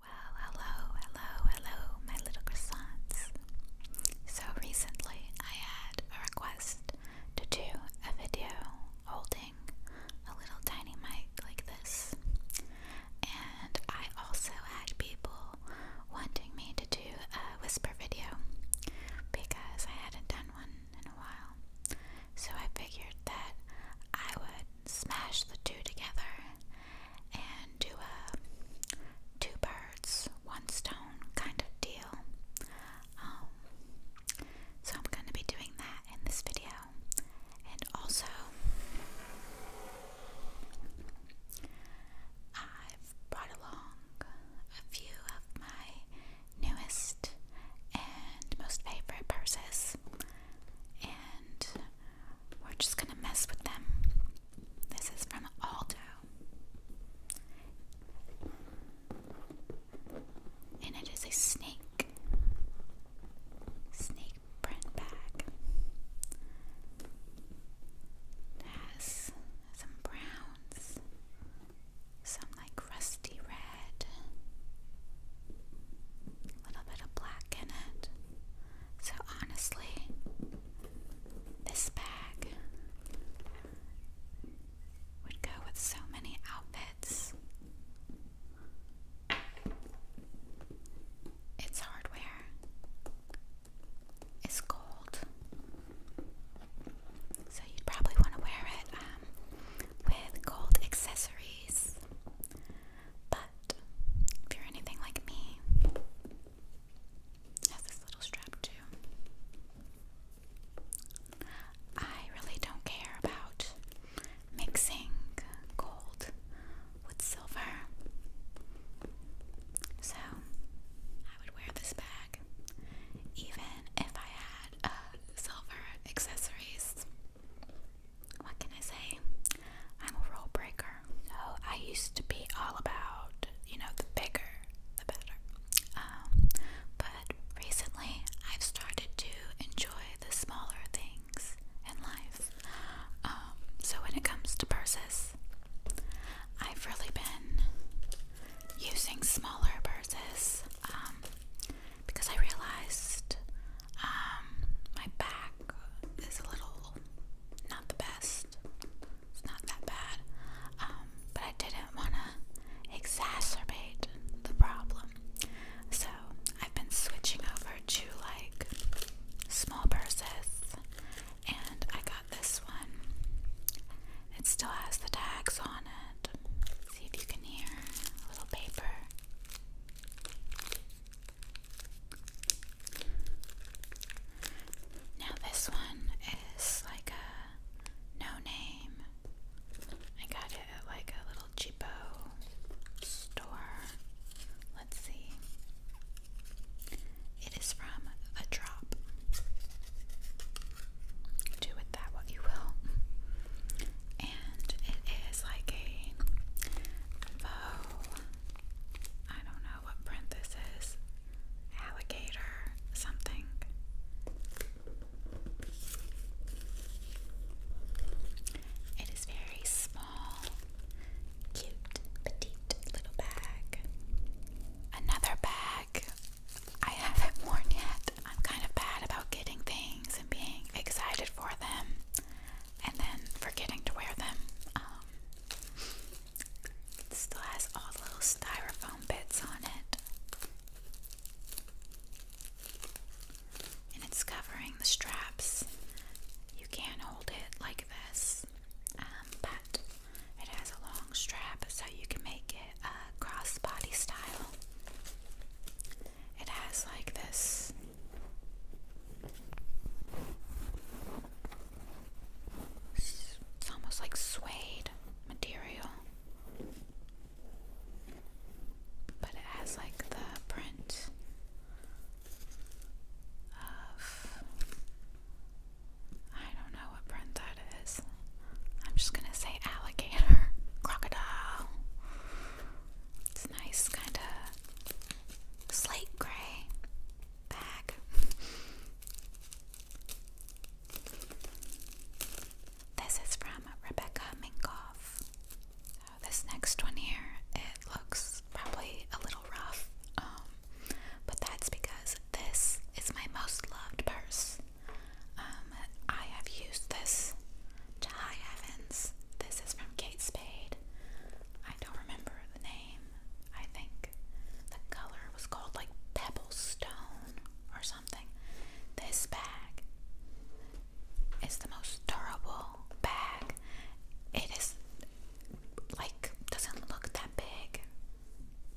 Well, hello, hello, hello, my little croissants. So recently I had a request to do a video holding a little tiny mic like this. And I also had people wanting me to do a whisper video because I hadn't done one in a while. So I figured that I would smash the two together and do a two birds, one stone kind of deal. Um, so I'm going to be doing that in this video. And also, I've brought along a few of my newest and most favorite purses we're just gonna mess with them. This is from Aldo. And it is a snake. Snake print bag. It has some browns, some like rusty red, a little bit of black in it. So honestly, this bag would go with so many outfits. It's hardware. It's gold. So you'd probably want to wear it um, with gold accessories. But if you're anything like me, has this little strap too. I really don't care about mixing gold with silver. So I would wear this bag even if I had uh, silver accessories what can I say? I'm a rule breaker. So I used to be all about, you know, the bigger, the better. Um, but recently I've started to enjoy the smaller things in life. Um, so when it comes to purses, I've really been using smaller purses. Um, because I realized um, my back is a little not the best. It's not that bad. Um, but I didn't want to exacerbate the problem. So I've been switching over to like small purses. And I got this one. It still has the tags on it that. See if you can hear a little paper. Now, this one is like a no name. I got it at like a little cheapo store. Let's see. It is from a drop do with that what you will. And it is like a faux, I don't know what print this is, alligator something. It is very small, cute, petite little bag. Another bag I haven't worn yet. I'm kind of bad about getting things and being excited for them and then forgetting to wear them. Um, still has all the little styrofoam bits on it. And it's covering the straps. You can hold it like this, um, but it has a long strap so you can make uh, crossbody style. It has like this it's almost like suede material. But it has like the print of I don't know what print that is. I'm just gonna say alligator, crocodile. It's nice, kind of slate gray bag. This is from Rebecca Minkoff. Uh, this next one here, it looks probably a little rough, um, but that's because this is my most loved purse. Um, I have used this to high This is from Kate Spade. I don't remember the name. I think the color was called like Pebble Stone or something. This bag is the most durable bag. It is like doesn't look that big.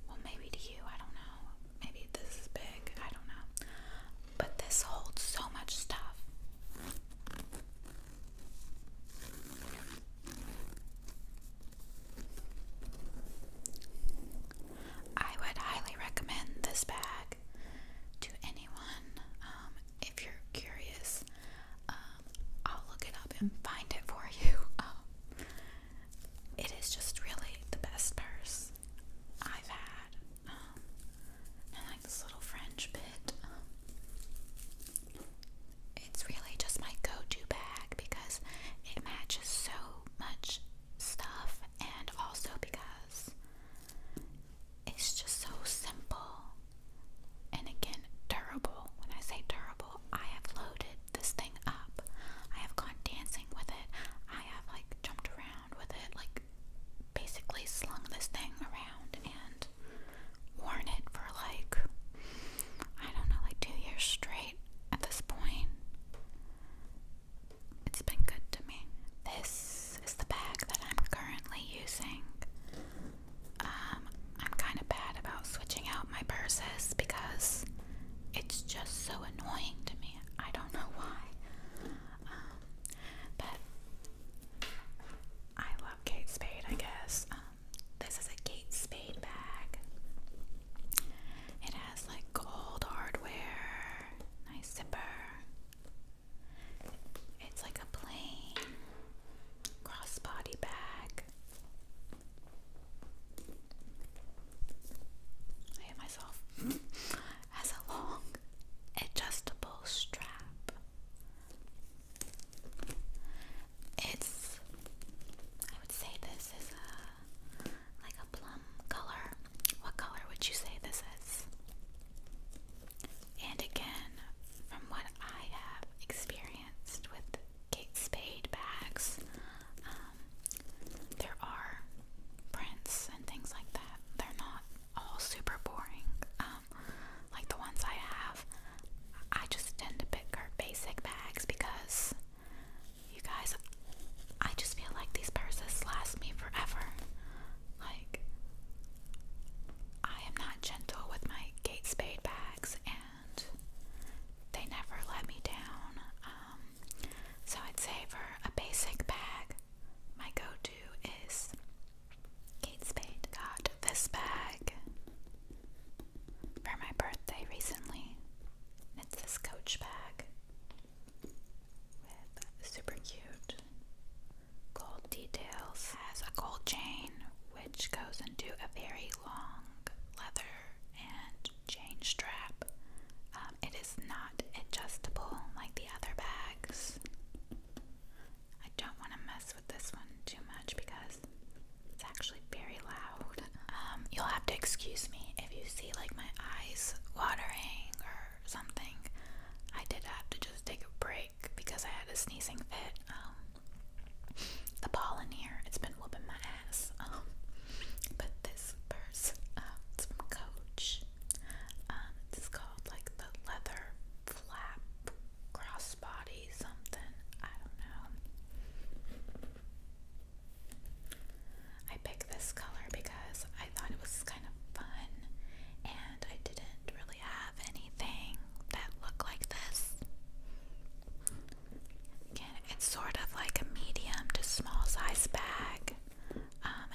Well, maybe to you, I don't know maybe this is big, I don't know. But this holds so much stuff. I would highly recommend this bag to anyone um, if you're curious. Um, I'll look it up and find it for you. Um, it is just really the best purse I've had. I um, like this little French bit. Um, it's really just my go-to bag because it matches so much stuff and also because it's just so simple and again durable. When I say durable, I have loaded this thing up. I have gone dancing with it. I have like jumped around with it, like basically slung this thing around and worn it for like I don't know, like two years straight at this point. It's been good to me. This is the bag that I'm currently using. Um, I'm kind of bad about switching out my purses because it's just so annoying to me. I don't know why. Um, but I love Kate Spade, I guess. Um, this is a Kate Spade bag. It has like gold hardware, nice zipper. It's like a plain crossbody bag. I hit myself. Has a long, adjustable strap. It's, I would say this is a, like a plum color. What color would you say this is? And again, from what I have experienced with Kate Spade bags. Um, there are prints and things like that. They're not all super boring. Um, like the ones I have, I just tend to pick her basic bags because you guys, I just feel like these purses last me forever. Like, I am not gentle with my Kate Spade bags, and they never let me down. Um, so I'd say for a basic bag, my go to is Kate Spade. Got this bag for my birthday recently. It's this Coach bag with super cute gold details. has a gold chain which goes into a very long leather and chain strap. Um, it is not adjustable like the other bags. I don't want to mess with this one too much because it's actually very loud. Um, you'll have to excuse me if you see like my eyes watering or something. I did have to just take a break because I had a sneezing fit. Um, the ball in here. It's been whooping my ass. Um, but this purse, uh, it's from Coach. Um, it's called like the leather flap crossbody something. I don't know. I picked this color because I thought it was kind of fun and I didn't really have anything that looked like this. Again, it's sort of like a medium to small size bag. Um,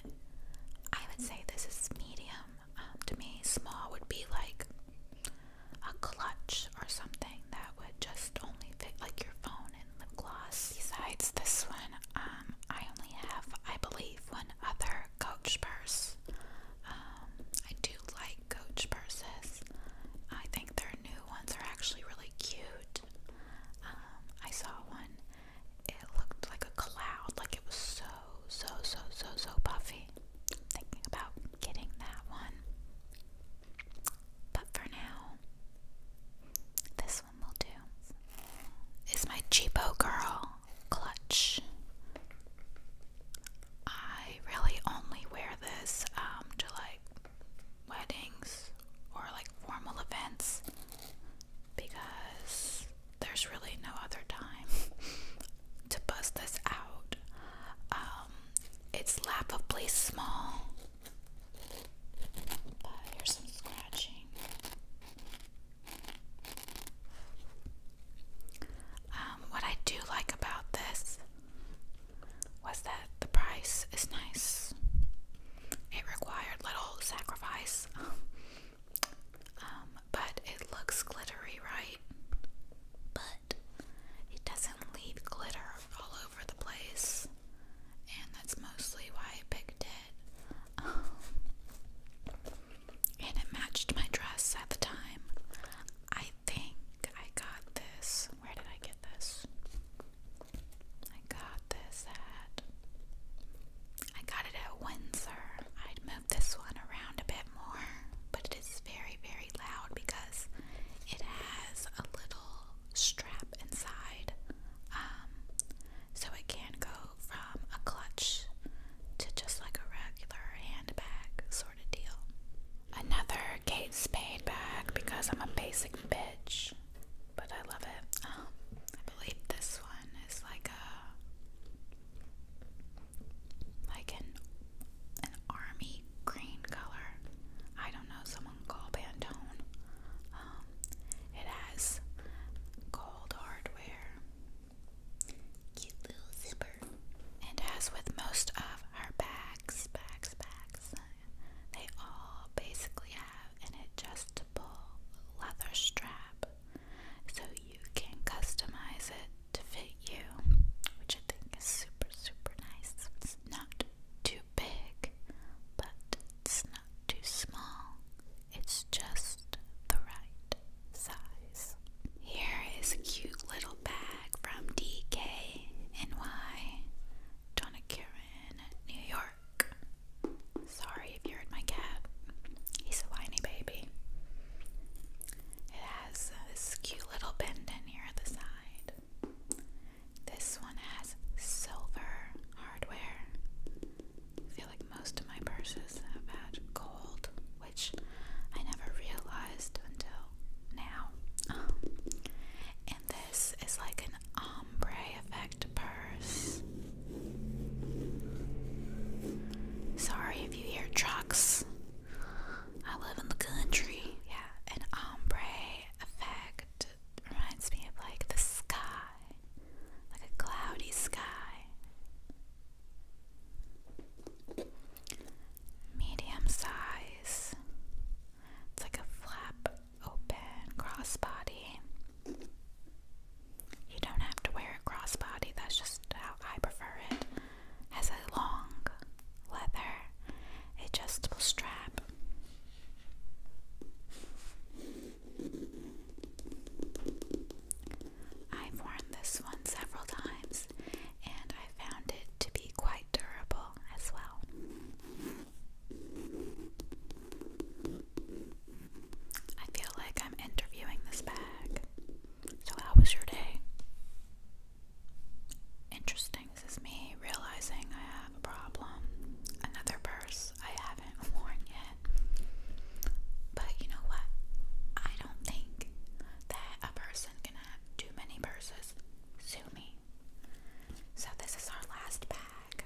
I would say this is medium. Um, to me, small would be like a clutch or something that would just only fit like your phone and lip gloss. Besides this one, um, I only have, I believe, one other Coach purse. Um, um, I do like Coach purses. I think their new ones are actually really cute. Um, I saw one. It looked like a cloud, like it was so, so, so, so, so puffy. I'm thinking about getting that one. But for now, this one will do. Is my cheapo girl clutch? I really only wear this um, to like weddings or like formal events because there's really no other time to bust this out. Um, it's laughably small. But here's some scratching. Um, what I do like about this was that the price is nice. It required little sacrifice, um, but it looks glittery, right? But it doesn't leave glitter all over the place, and that's mostly why I picked it. Um, and it matched my dress at the time. I think I got this. Where did I get this? I got this at. I got it at Windsor. I'd move this one around a bit more, but it is very, very loud because it has a little strap inside. Um, so it can go from a clutch to just like a regular handbag sort of deal. Another Kate Spade bag because I'm a basic bitch, but I love it. Um, I believe this one is like a like an an army green color. I don't know. Someone call Pantone. Um, it has gold hardware Cute little zipper. And as with most of our bags, bags, bags, they all basically have an adjustable leather strap so you can customize it to fit you, which I think is super, super nice. It's not too big, but it's not too small. It's just the right size. Here is a cute little bag from DKNY, Donnacaren, New York. Sorry if you heard my cat, he's a whiny baby. It has this cute little pendant here at the side. This one has silver hardware I feel like most of my purses have had gold, which I never realized until now. Um, and this is like an ombre effect purse. Sorry if you hear trucks. I live in the country. Yeah, an ombre effect reminds me of like the sky, like a cloudy sky. Medium size. It's like a flap open crossbody. You don't have to wear a crossbody, that's just how I prefer it. Has a long leather adjustable strap. I've worn this one several times and I found it to be quite durable as well. I feel like I'm interviewing this bag. So, how was your day? Interesting. This is me realizing I have a problem. Another purse. I haven't worn yet. But you know what? I don't think that a person can have too many purses. Sue me. So this is our last bag.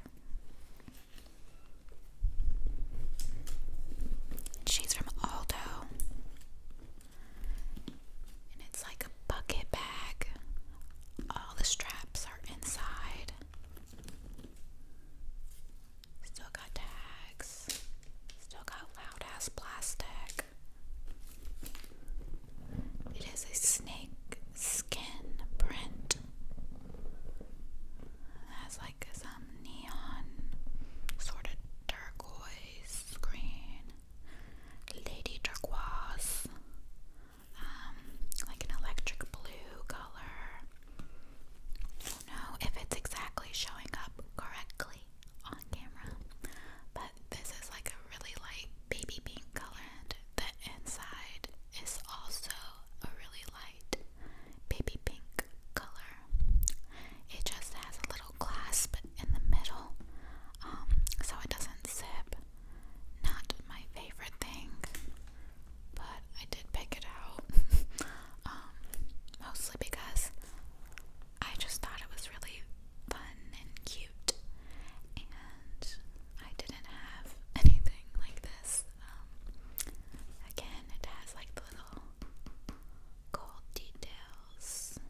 She's from Aldo. And it's like a bucket bag. All the straps are inside. Still got tags. Still got loud ass plastic. It is a snake skin print. has like some neon sort of turquoise green. Lady turquoise um, like an electric blue color. don't know if it's exactly showing up correctly on camera, but this is like a really light baby pink color, and the inside is also a really light baby pink color. It just has a little clasp in the middle, um, so it doesn't zip. Not my favorite thing but I did pick it out. Um, mostly because I just thought it was really fun and cute, and I didn't have anything like this. Um, again, it has like little gold details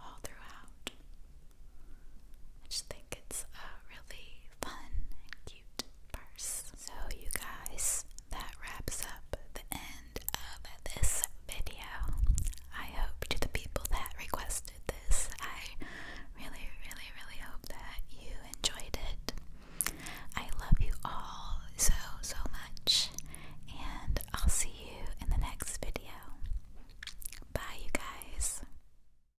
all throughout. I just think it's uh, really fun and cute. So, you guys, that wraps up the end of this video. I hope to the people that requested this, I really, really, really hope that you enjoyed it. I love you all so, so much, and I'll see you in the next video. Bye, you guys.